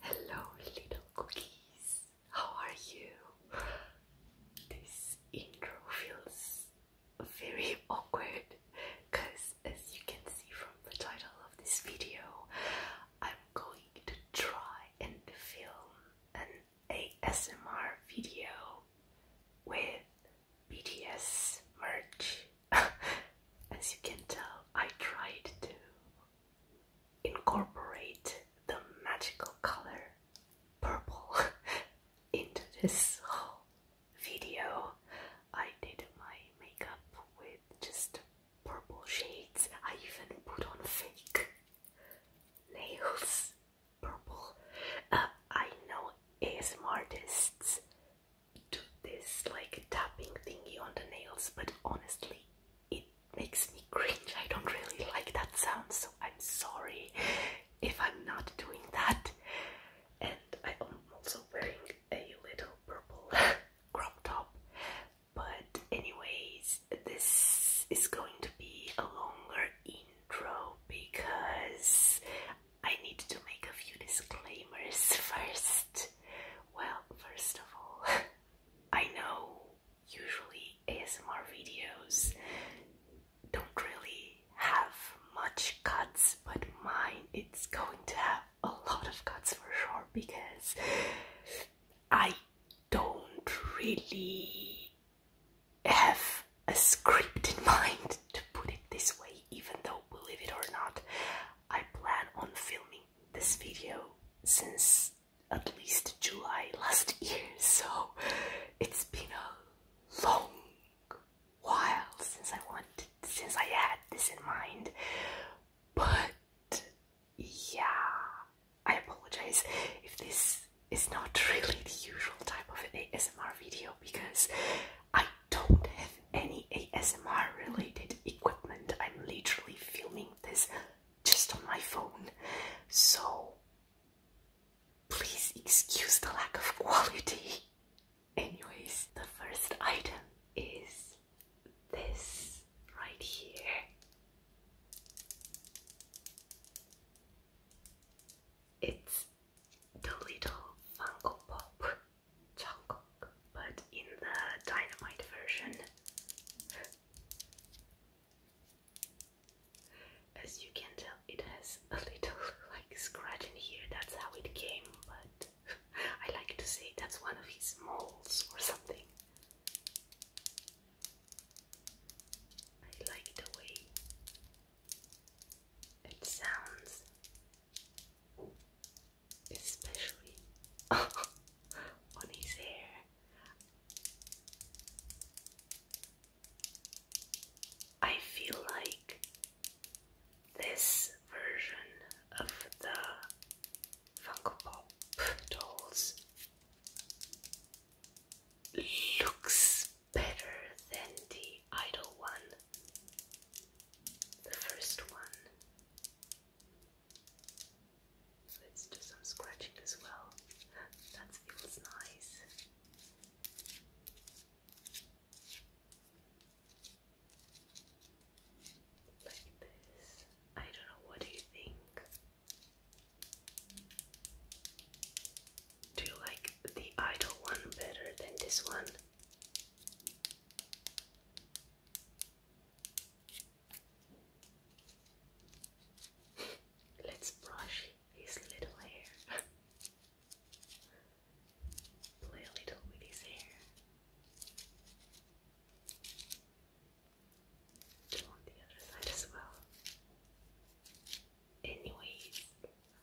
Hello, little cookies. How are you? This intro feels very awkward because, as you can see from the title of this video, I'm going to try and film an ASMR video with BTS merch. As you can tell, I tried to incorporate the magical color purple into this whole video. I did my makeup with just purple shades. I even put on fake nails. Purple. Uh, I know ASM artists do this like tapping thingy on the nails, but honestly, it makes me cringe. I don't really like that sound, so I'm sorry if I'm not doing that. And I'm also wearing a little purple crop top. But, anyways, this is going to be a longer intro because I need to make a few disclaimers first. Well, first of all, I know usually ASMR videos don't really have much cuts, but mine it's going to have a lot of cuts for sure because I don't really have a script in mind to put it this way, even though, believe it or not, I plan on filming this video since at least July last year, so it's been a long while since I wanted, since I had this in mind. But yeah, I apologize if this is not really the usual type of an ASMR video because I don't have any ASMR related equipment. I'm literally filming this just on my phone. So please excuse the lack of quality. Anyways, the first item is this right here. It's the little Funko Pop Jungkook, but in the Dynamite version. As you can tell, it has a little like scratch in here. That's how it came, but I like to say that's one of his moles or something. I like the way it sounds, especially on his hair. I feel like this version of the Funko Pop dolls looks better than the idol one, the first one. Let's do some scratching as well. That feels nice. Like this. I don't know, what do you think? Do you like the idle one better than this one? Let's brush his little hair. Play a little with his hair. Do on the other side as well. Anyways,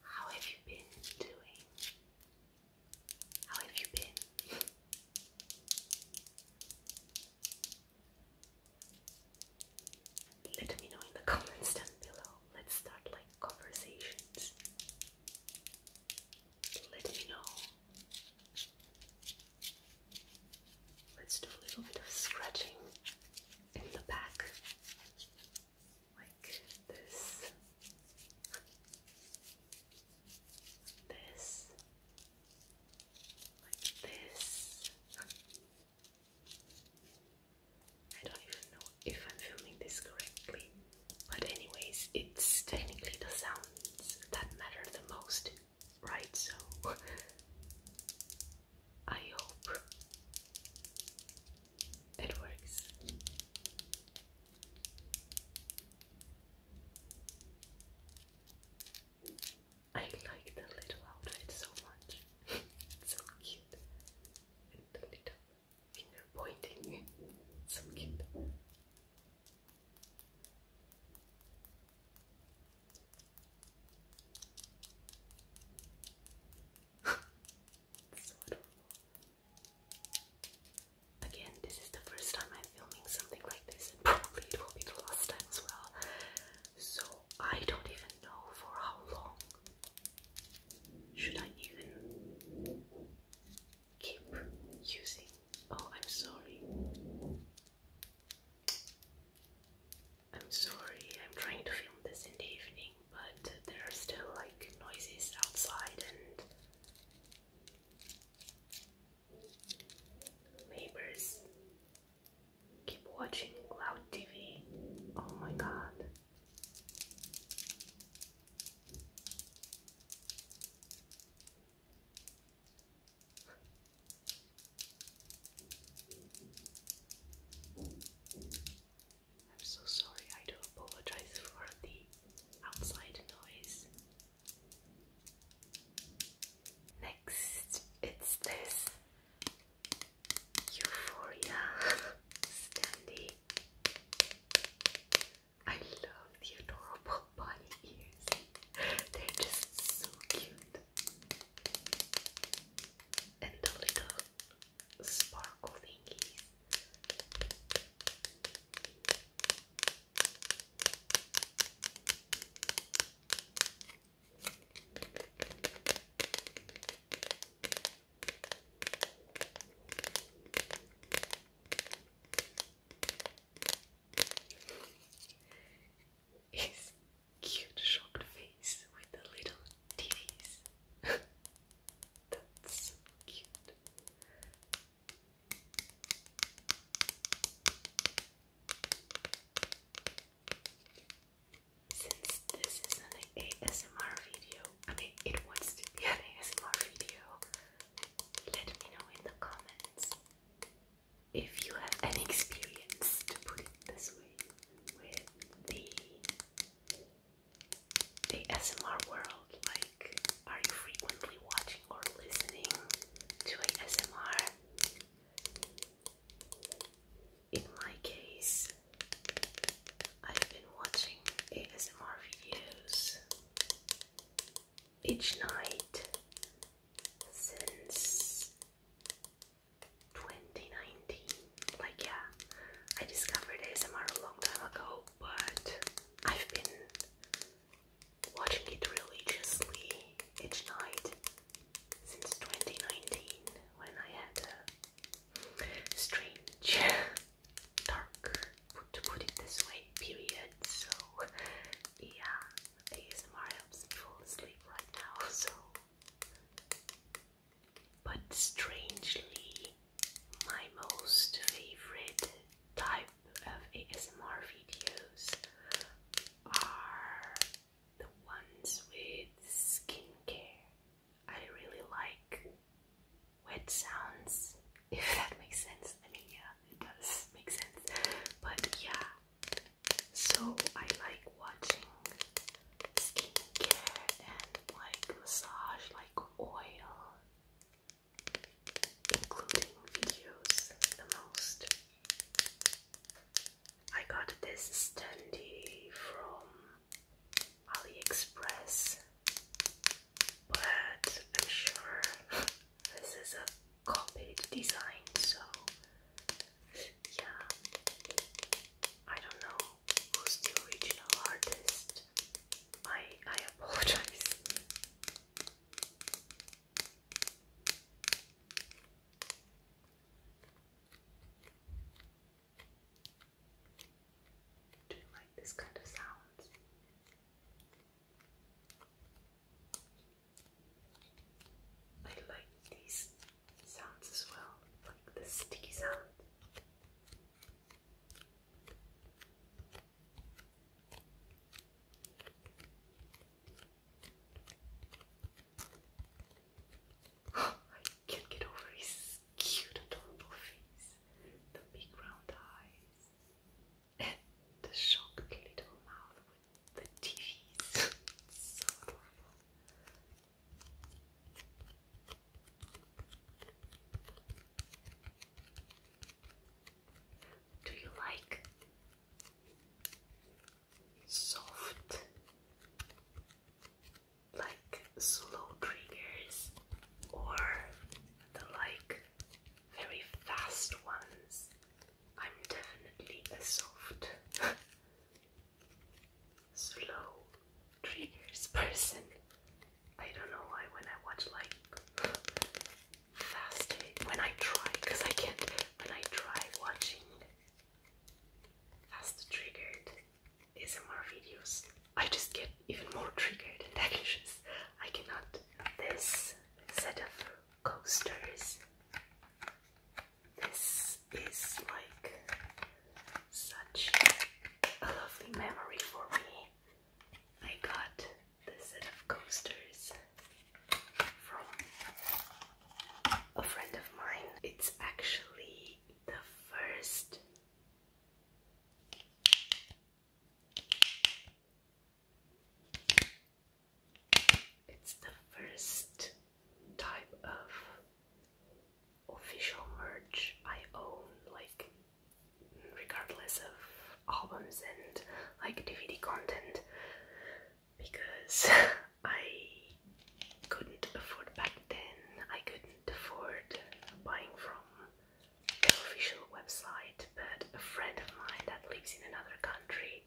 how have you been doing? How have you been? Let me know in the comments down below. Let's start like conversations. Let me know. Let's do a little bit of scratching in the back, like this, this, like this. I don't even know if I'm filming this correctly, but, anyways, it's technically the sounds that matter the most, right? So, I hope it works. I like the little outfit so much. so cute. the little finger pointing. so cute. so adorable. Again, this is the first time I filming something like this, and probably it will be the last time as well. So I don't even know for how long should I even keep using. Oh, I'm sorry. I'm sorry, I'm trying to film this in the evening, but there are still like noises outside and Neighbors, keep watching Cloud TV. Oh my god. I'm so sorry, I do apologize for the outside noise. Next, it's this Euphoria standee. I love the adorable bunny ears. They're just so cute. And the little sparkle thingies. His cute shocked face with the little teeth. That's so cute. Since this is an ASMR video, I mean, it wants to be an ASMR video, let me know in the comments if you have any experience, to put it this way, with the, the ASMR world. Like, are you frequently watching or listening to ASMR? In my case, I've been watching ASMR videos each night since 2019. Like, yeah, I discovered ASMR a long time ago, but I've been watching it religiously each night since 2019 when I had a strange, dark, to put it this way, period. So, yeah, ASMR helps me fall asleep right now. So, but strangely, my most favorite type of ASMR videos are the ones with skincare. I really like wet sounds, if that makes sense. I mean, yeah, it does make sense, but yeah. So I like watching skincare and like massage, like oil, including videos the most. I got this standee from AliExpress, but I'm sure this is a copied design, so yeah, I don't know who's the original artist. I I apologize. Do you like this kind of sounds? I like these sounds as well, like the sticky sound. I can't get over his cute, adorable face, the big round eyes, and the shocked little mouth with the teeth. so adorable. Do you like soft, like slow triggers, or the like very fast ones. I'm definitely a soft, slow triggers person. I don't know why when I watch like fast when I try, because I can't, when I try watching Fast triggered ASMR videos. I just get even more triggered and I cannot. This set of coasters. This is like such a lovely memory for me. I got this set of coasters from a friend of mine. It's actually the first it's the first type of official merch I own, like regardless of albums and like DVD content because I couldn't afford back then, I couldn't afford buying from the official website, but a friend of mine that lives in another country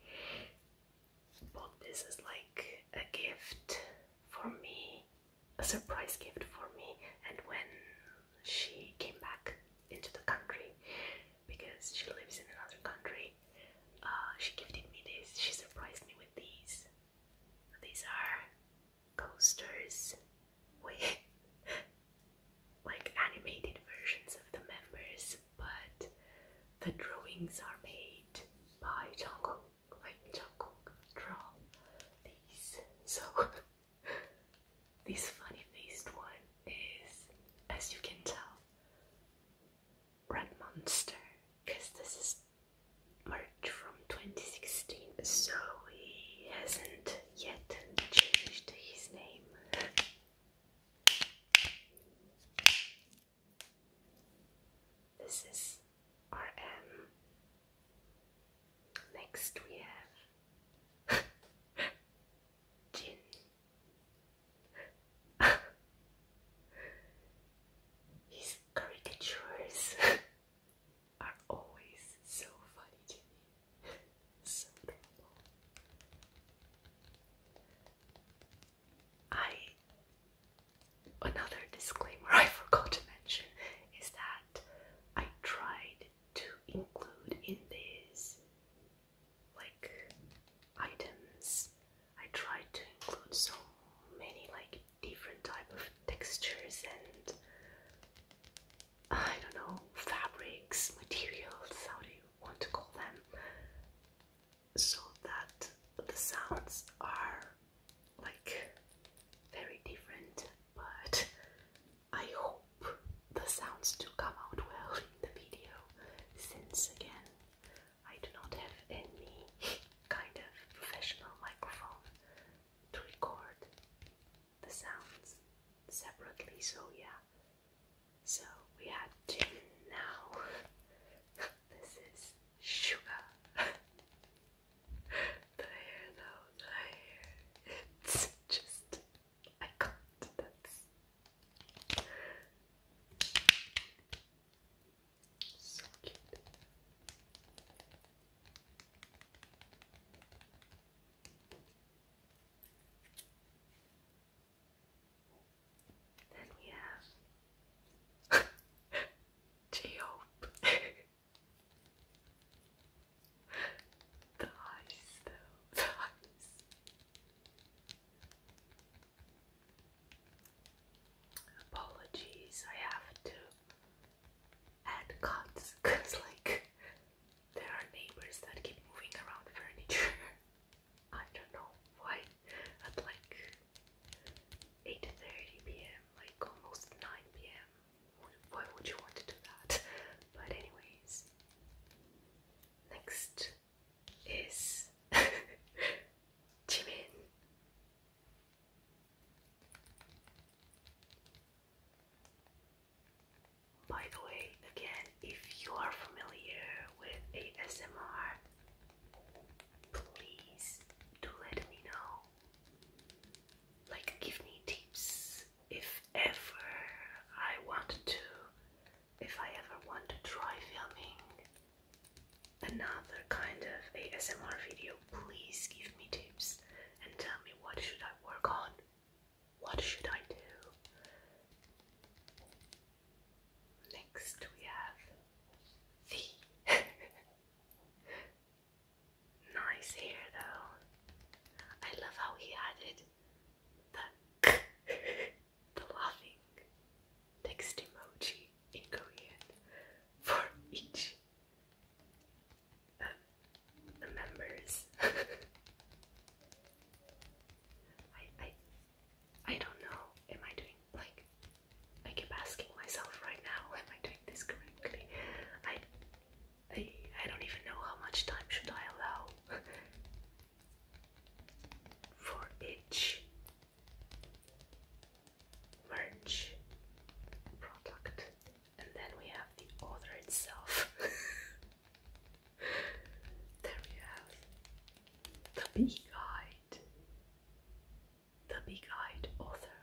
bought this as like a gift for me, a surprise gift for me, and when she came back into the country because she lives in another country uh, she gifted me this. She surprised me with these. These are coasters with like animated versions of the members, but the drawings are made by Jungkook. Like Jungkook draw these. So this funny faced one is, as you can tell, Red Monster because this is March from 2016, so he hasn't yet changed his name. This is RM. Next we have Jin His caricatures are always so funny to me. so adorable. I another disclaimer I forgot to mention is that I tried to include in these like items I tried to include so many like different type of textures and I don't know fabrics, materials, how do you want to call them, so that the sounds are like very different. But I hope the sounds do come out well in the video, since again I do not have any kind of professional microphone to record the sounds separately, so yeah. So we had gin now. this is sugar. the hair now, the hair. It's just I can't. So cute. Then we have J-Hope. the eyes though, eyes. Apologies, I have to add cuts because, like, there are neighbors that keep moving around furniture. I don't know why. At like 8:30 p.m., like almost 9 p.m. Why would you want to do that? But anyways, next is Jimin. By the way, again, if you are familiar with ASMR, please do let me know. Like, give me tips if ever I want to, if I ever want to try filming another kind of ASMR video, please give me tips and tell me what should I work on? What should I do? Next we have the nice hair though. I love how he added the the text emoji in Korean for each uh, members. I I I don't know. Am I doing like I keep asking myself right now? Am I doing this correctly? I I I don't even know how much time should I allow for each merch product, and then we have the order itself. there we have the bee guide, the bee guide author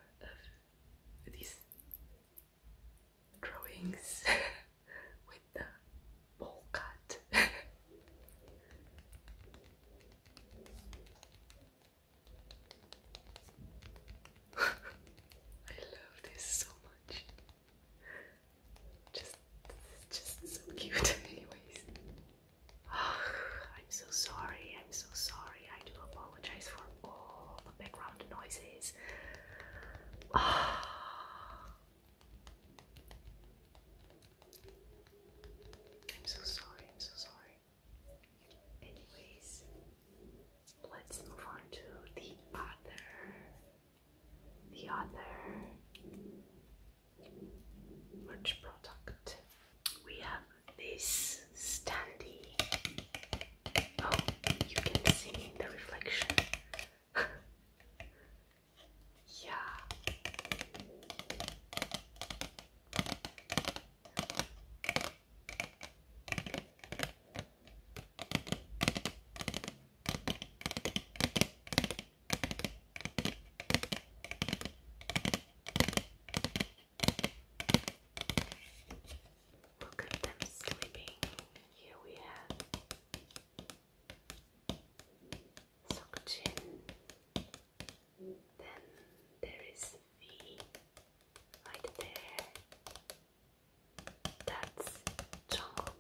of these drawings with the ball cut. I love this so much. Just, just so cute. Anyways, I'm so sorry. I'm so sorry. I do apologize for all the background noises. I'm so sorry. I'm so sorry. Anyways, let's move on to the other, the other merch product. We have this standy. Oh, you can see in the reflection. yeah. Look at them sleeping. Here we have Sokjin, then there is V right there. That's John.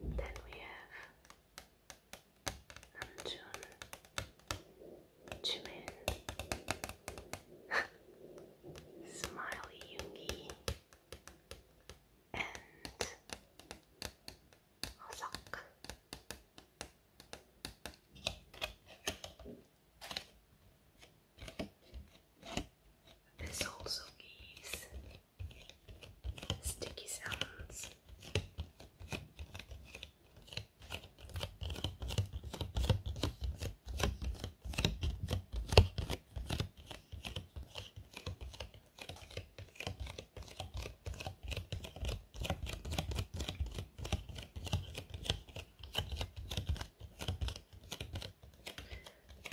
Then we have Namjoon, Jimin, Smiley Yoongi, and 화석. This also gives sticky sounds.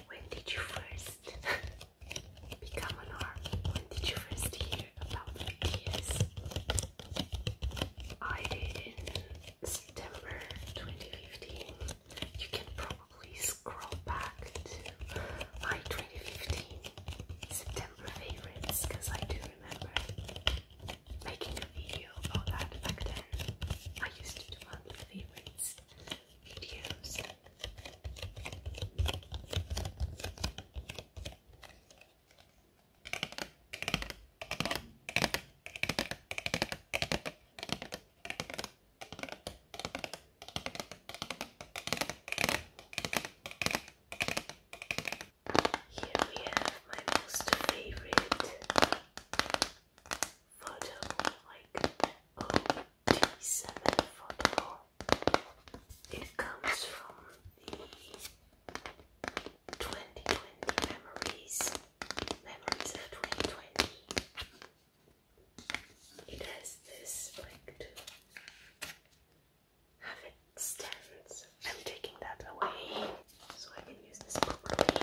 When did you first become an arm? When did you first hear about ideas? I did in September 2015. You can probably scroll back to my 2015 September favorites because I do remember making a video about that back then. I used to do monthly favorites videos. Here we have my most favorite photo, like OT7 photo. It comes from the 2020 memories, memories of 2020. It has this like have it stands. I'm taking that away so I can use this properly.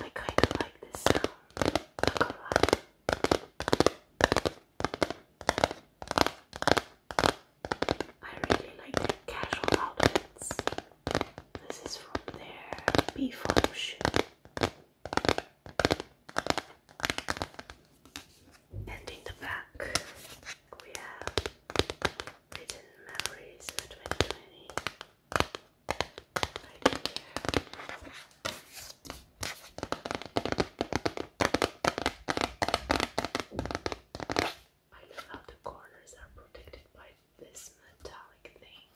I kind of like this sound. I really like casual outlets. This is from their B photo and in the back, we have Hidden Memories of 2020. I love how the corners are protected by this metallic thing.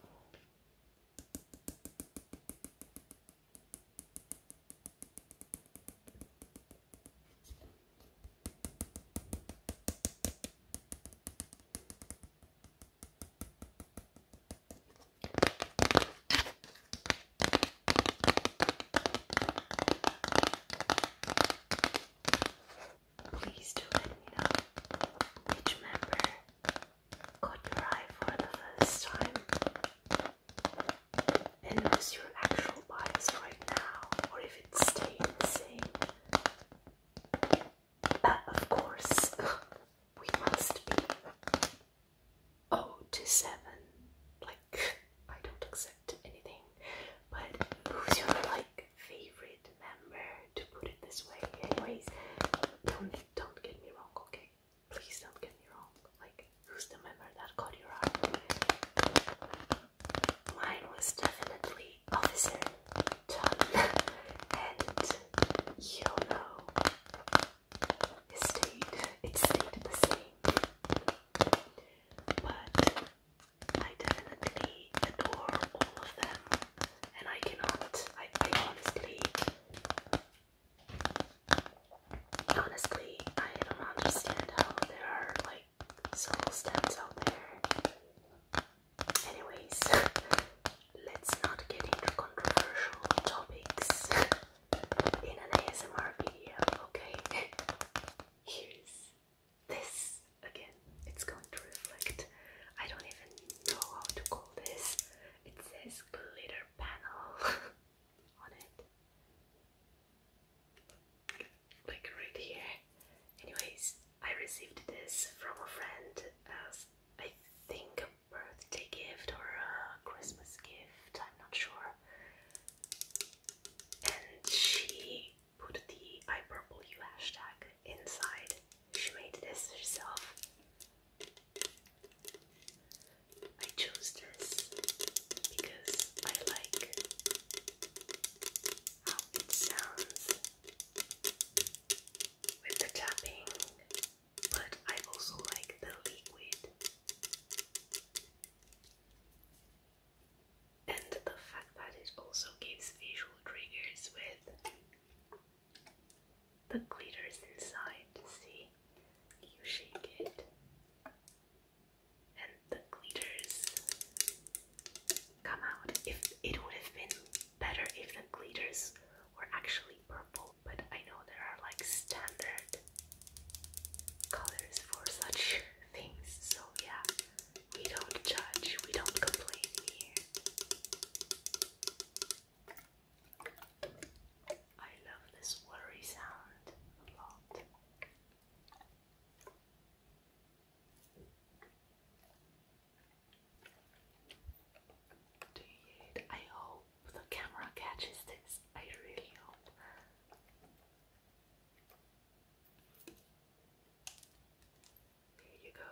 Please do let me know which member caught your eye for the first time. And notice your actual bias right now, or if it's staying the same. But of course, we must be 0 to 7. Like, I don't accept anything. But who's your like favorite member, to put it this way? Anyways, don't don't get me wrong, okay? Please don't get me wrong. Like, who's the member that caught your eye? Mine was definitely Officer John, and you know, it stayed. It stayed the same. But I definitely adore all of them, and I cannot. I, I honestly Honestly, I don't understand how there are like soul steps out there. Anyways, let's not get into controversial topics in an ASMR video, okay? Here's this again. It's going to reflect. I don't even know how to call this. It says glitter panel on it. Like right here. Anyways, I received this from a friend as I think a birthday gift or a Christmas gift, I'm not sure. And she put the I purple hashtag inside. She made this herself. I chose this because I like how it sounds with the tapping, but I also like the liquid and the fact that it also gives visual triggers with the glitter's inside, see? You shake it, and the glitters come out. If it would have been better if the glitters were actually purple, but I know there are like standard colors for such things, so yeah, we don't judge, we don't complain here. I love this worry sound a lot. Do you I hope the camera catches this. I really hope. Here you go.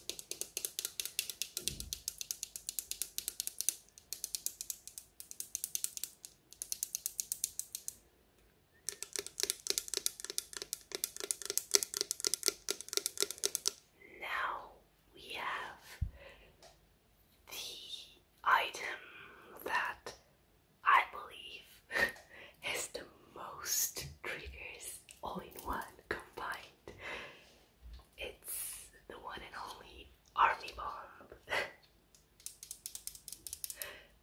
Now we have the item that I believe has the most triggers all in one combined. It's the one and only Army Bomb.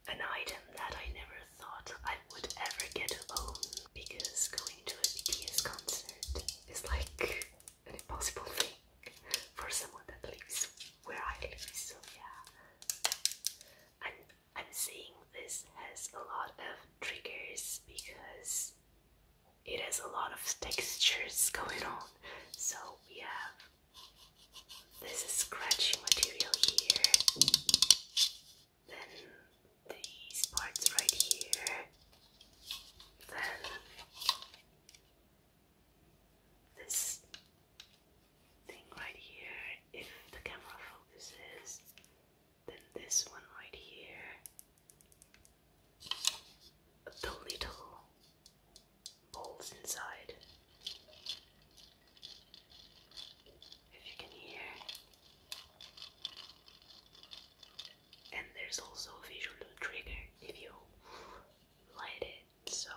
An item that I never thought I would ever get to own because going to a BTS concert is like an impossible thing for someone that lives where I live, so yeah. I'm saying this has a lot of triggers because it has a lot of textures going on. So we have this scratchy material here, then these parts right here, then this thing right here, if the camera focuses, then this one right here. The little balls inside. If you can hear. And there's also a visual trigger if you light it. So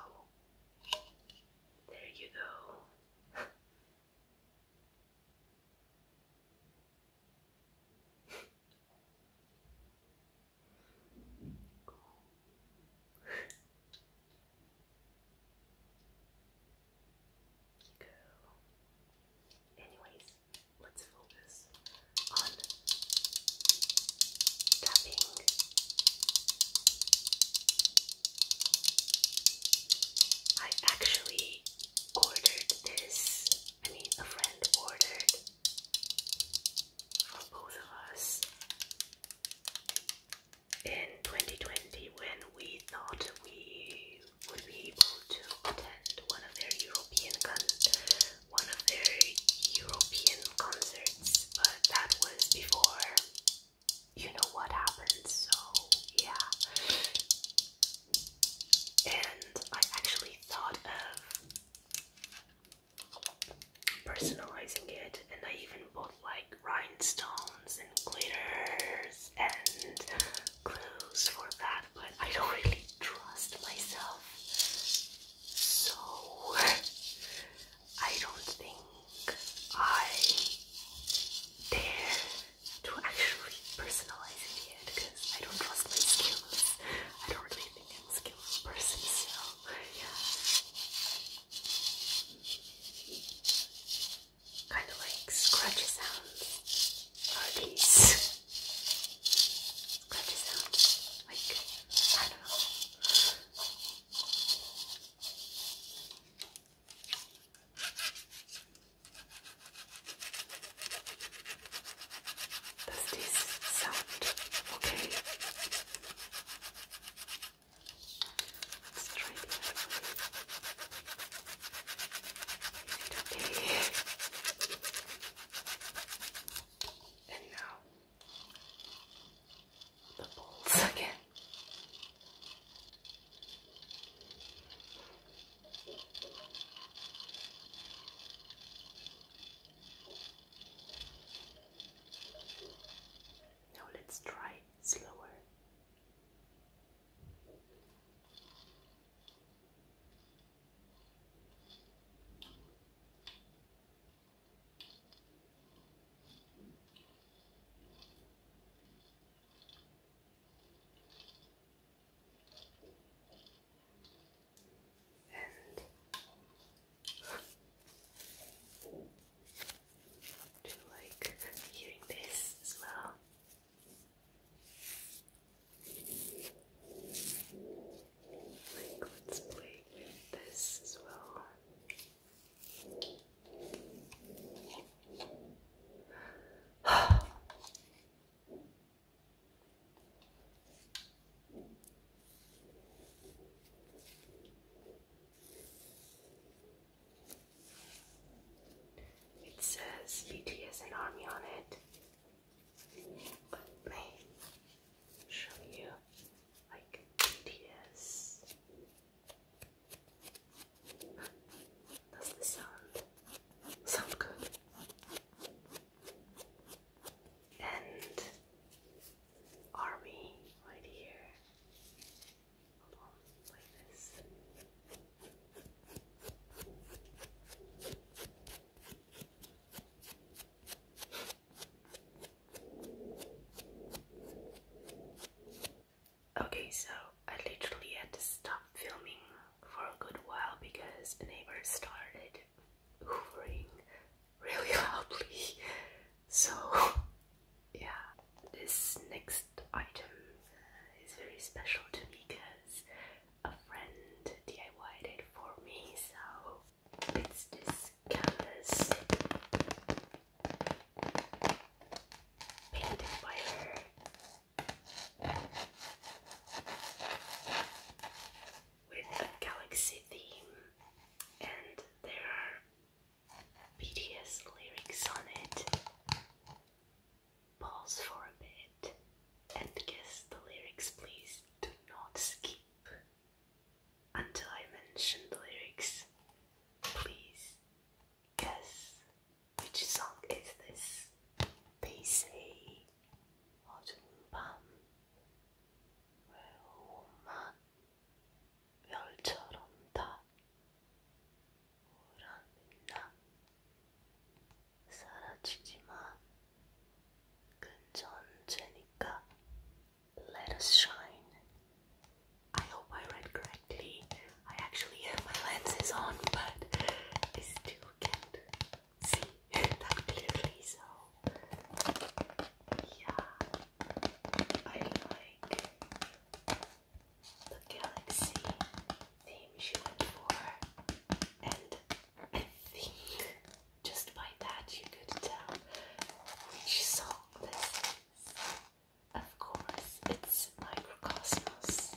there you go. Go. Anyways, let's focus on tapping. I actually ordered this. I mean, a friend ordered for both of us in 2020 when we thought we would be able to attend one of their European one of their European concerts, but that was before you know what happened. So yeah, and I actually thought of personalizing it, and I even bought like rhinestones and glitters and clues for that, but I don't really trust myself, so I don't think I dare to actually personalize it yet because I don't trust my skills. I don't really think I'm a skillful person, so yeah. Kind of like scratchy sounds are these. Scratchy sounds, like, I don't know. Does this sound okay? Let's And now the balls again. Now let's try slower and do you like hearing this as well? Like, let's play this as well. It says BTS and Army on it. Let me show you like BTS. That's the sound. Sound good. And army right here. like this. Okay, so I literally had to stop filming for a good while because neighbors started hoovering really loudly. So, yeah, this next item is very special to me because a friend diy it for me. So, it's this canvas painted by her with a galaxy theme, and there are BTS lyrics on it. Pause for a bit and guess the lyrics, please. Do not skip until I mention the lyrics. Please guess. Which song is this? PC 어둠밤 외로움만 별처럼 다 우란 빛나 사라지지만 Let us shine. I hope I read correctly. I actually have my lenses on, but I still can't see that clearly, so yeah, I like the galaxy theme she went for, and I think just by that you could tell which song this is. Of course, it's Microcosmos.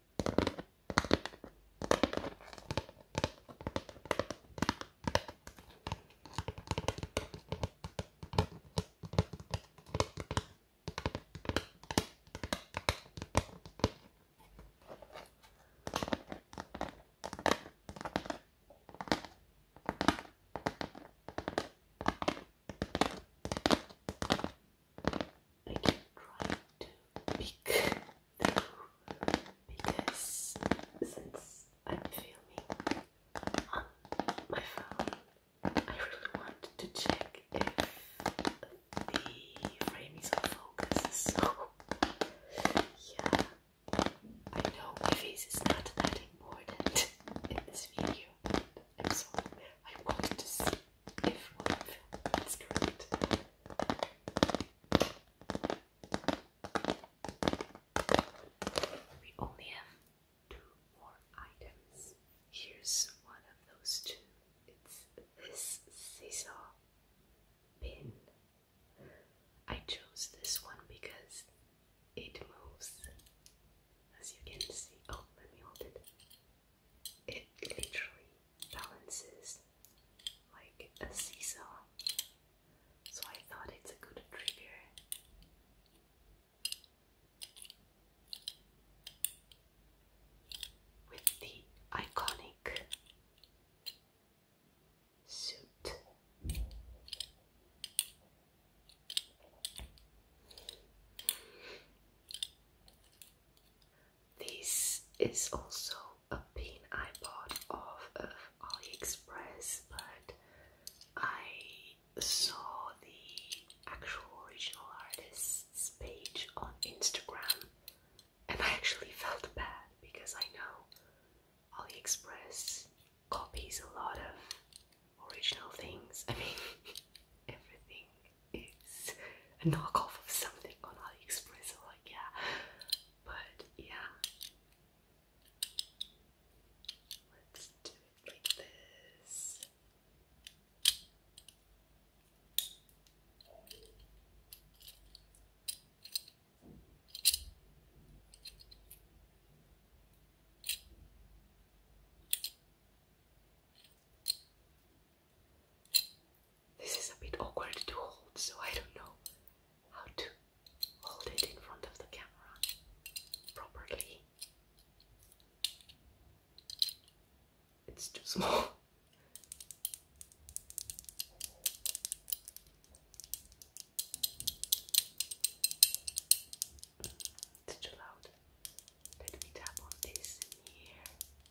I keep trying to pick because since I'm filming on my phone, I really want to check if the frame is on focus. So, yeah, I know my face is not that important in this video. I'm sorry, I'm going to see if what i correct. We only have two more items. Here's one of those two. It's this seesaw pin. I chose this one because it moves. As you can see, oh, let me hold it. It literally balances like a seesaw, so I thought it's a good trigger. With the iconic suit. This is also a pin I bought off of AliExpress, but I saw the actual original artist's page on Instagram and I actually felt bad because I know AliExpress copies a lot of original things. I mean, everything is a knockoff of something on AliExpress or like yeah. But yeah. Let's do it like this. This is a bit awkward to hold, so I don't know how to hold it in front of the camera properly. It's too small. It's too loud. Let me tap on this here.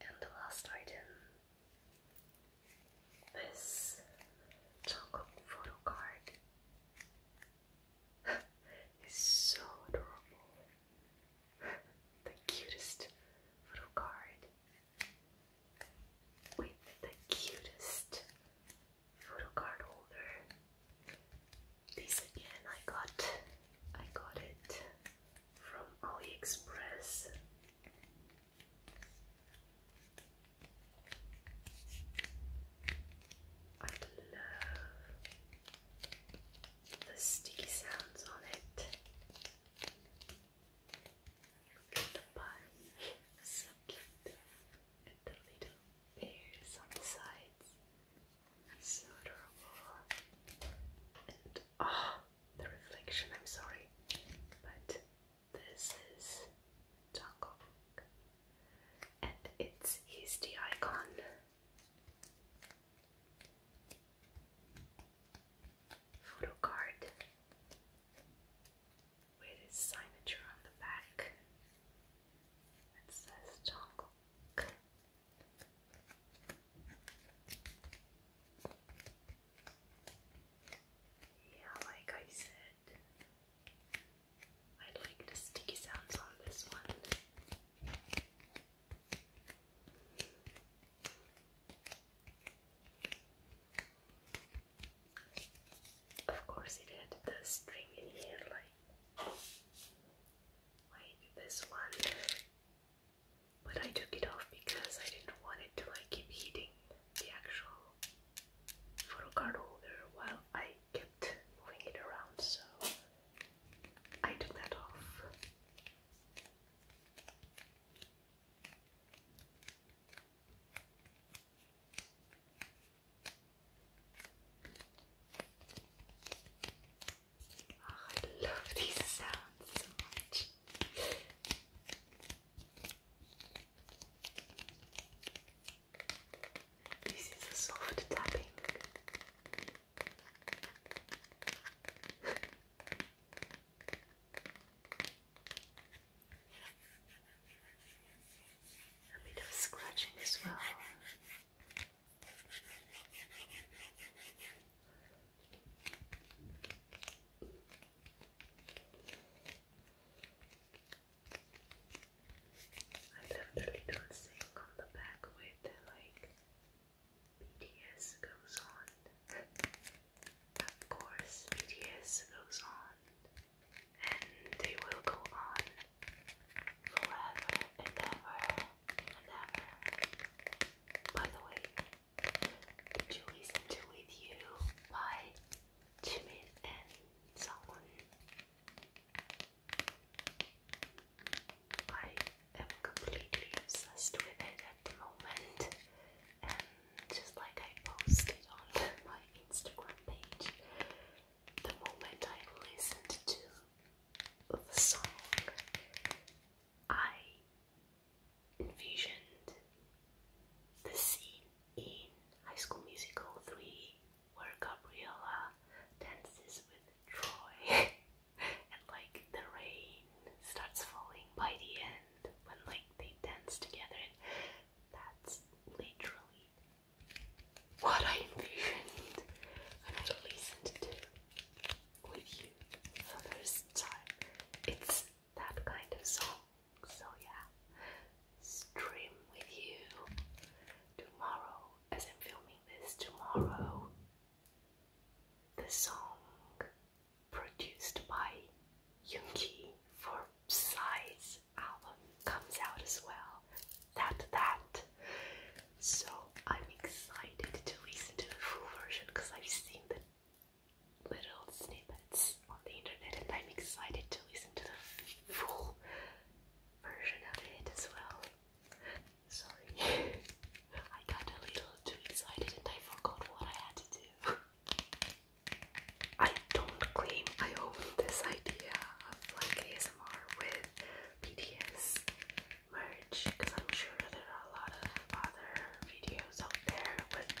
And the last item this chocolate photo card is so adorable. the cutest photo card with the cutest photo card holder. This again I got I got it from AliExpress. I love the sticky sounds on it. Look at the bun. so cute with the little bears on the sides. So adorable. And ah, the reflection, I'm sorry. But this is Jungkook. And it's he's the icon. Photo card with his signature on the back that says Jungkook. Yeah, like I said, I like the sticky sounds on this one. Of course, it had the string in here, like like this one. But I took it off because I didn't want it to like keep hitting the actual photo card holder while I kept moving it around, so I took that off. Oh, I love these sounds so much. This is a soft tapping. A bit of scratching as well. I left a little thing on the back with the, like BTS goes on. of course, BTS goes on and they will go on forever and ever and ever. By the way, did you listen With You by Jimin and Sangwon? I am completely obsessed with it at the moment, and just like I posted on my Instagram page, the moment I listened to the song, I envisioned the scene in High School Musical 3 where Gabriella dances with Troy and like the rain starts falling by the end when like they dance together that's literally what I envisioned when I listened to with you for the first time. It's that kind of song. So yeah, stream with you tomorrow as I'm filming this tomorrow. The song produced by Yunki for size album comes out as well. That, that. So I'm excited to listen to the full version because I've seen the little snippets on the internet and I'm excited to listen to the full version of it as well. Sorry, I got a little too excited and I forgot what I had to do. don't claim I own this idea of like ASMR with BTS merch because I'm sure there are a lot of other videos out there with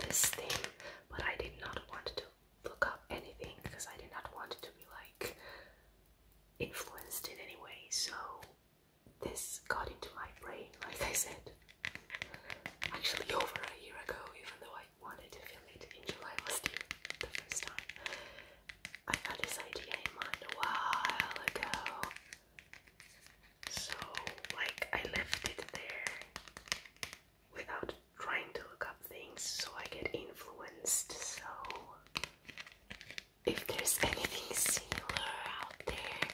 this thing, but I did not want to look up anything because I did not want to be like influenced in anyway. So this got into my brain, like I said, actually over a year ago, even though I wanted to film it in July last year, the first time. I had this idea in mind a while ago. So, like, I left it there without trying to look up things so I get influenced. So, if there's anything similar out there,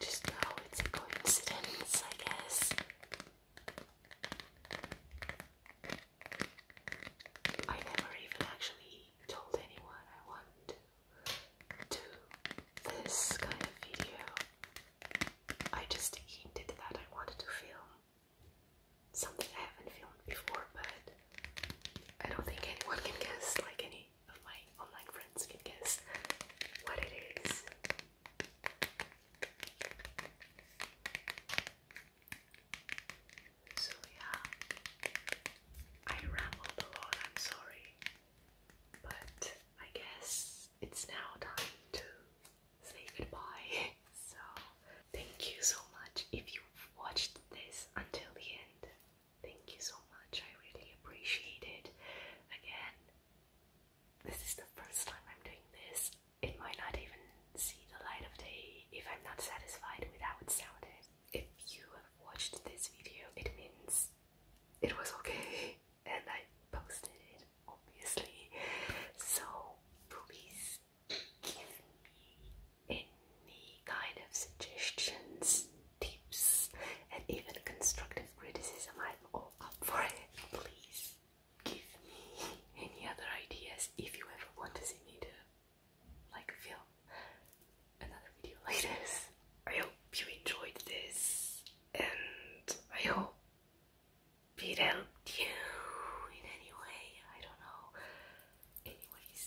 just know it's a coincidence, I guess. I never even actually told anyone I wanted to do this kind of video. I just hinted that I wanted to film something I haven't filmed before, but I don't think anyone can guess, like any of my online friends can guess what it is. So, yeah, I rambled a lot, I'm sorry, but I guess it's now time to say goodbye. So, thank you so much if you watched this until the end. Thank you so much, I really appreciate it. Again, this is the first time I'm doing this, it might not even see the light of day if I'm not satisfied with how it sounded. If you have watched this video, it means it was okay and I posted it, obviously. So please give me any kind of suggestions, tips, and even constructive criticism. I'm all up for it. Please give me any other ideas if you ever want to see me do like film another video like this. I hope you enjoyed this and I hope it helped you in any way. I don't know. Anyways,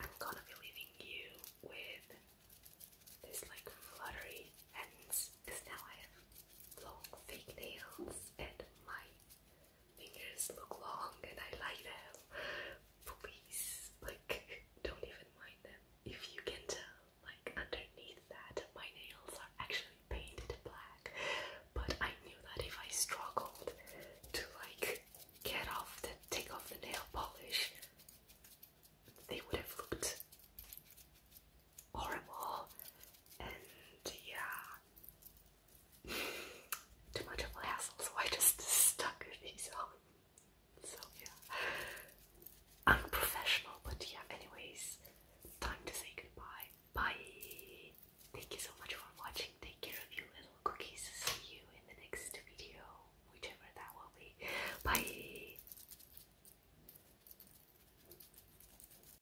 I'm gonna be leaving you with this like fluttery hands because now I have long fake nails and my fingers look long and I like them. Please, like, don't even mind them. If you can tell, like, underneath that, my nails are actually painted black. But I knew that if I struggled to, like, get off the take off the nail polish, they would have looked horrible and yeah, too much of a hassle, so I just stuck these on. Um, so yeah, unprofessional, but yeah, anyways, time to say goodbye. Bye! Thank you so much for watching. Take care of you little cookies. See you in the next video, whichever that will be. Bye!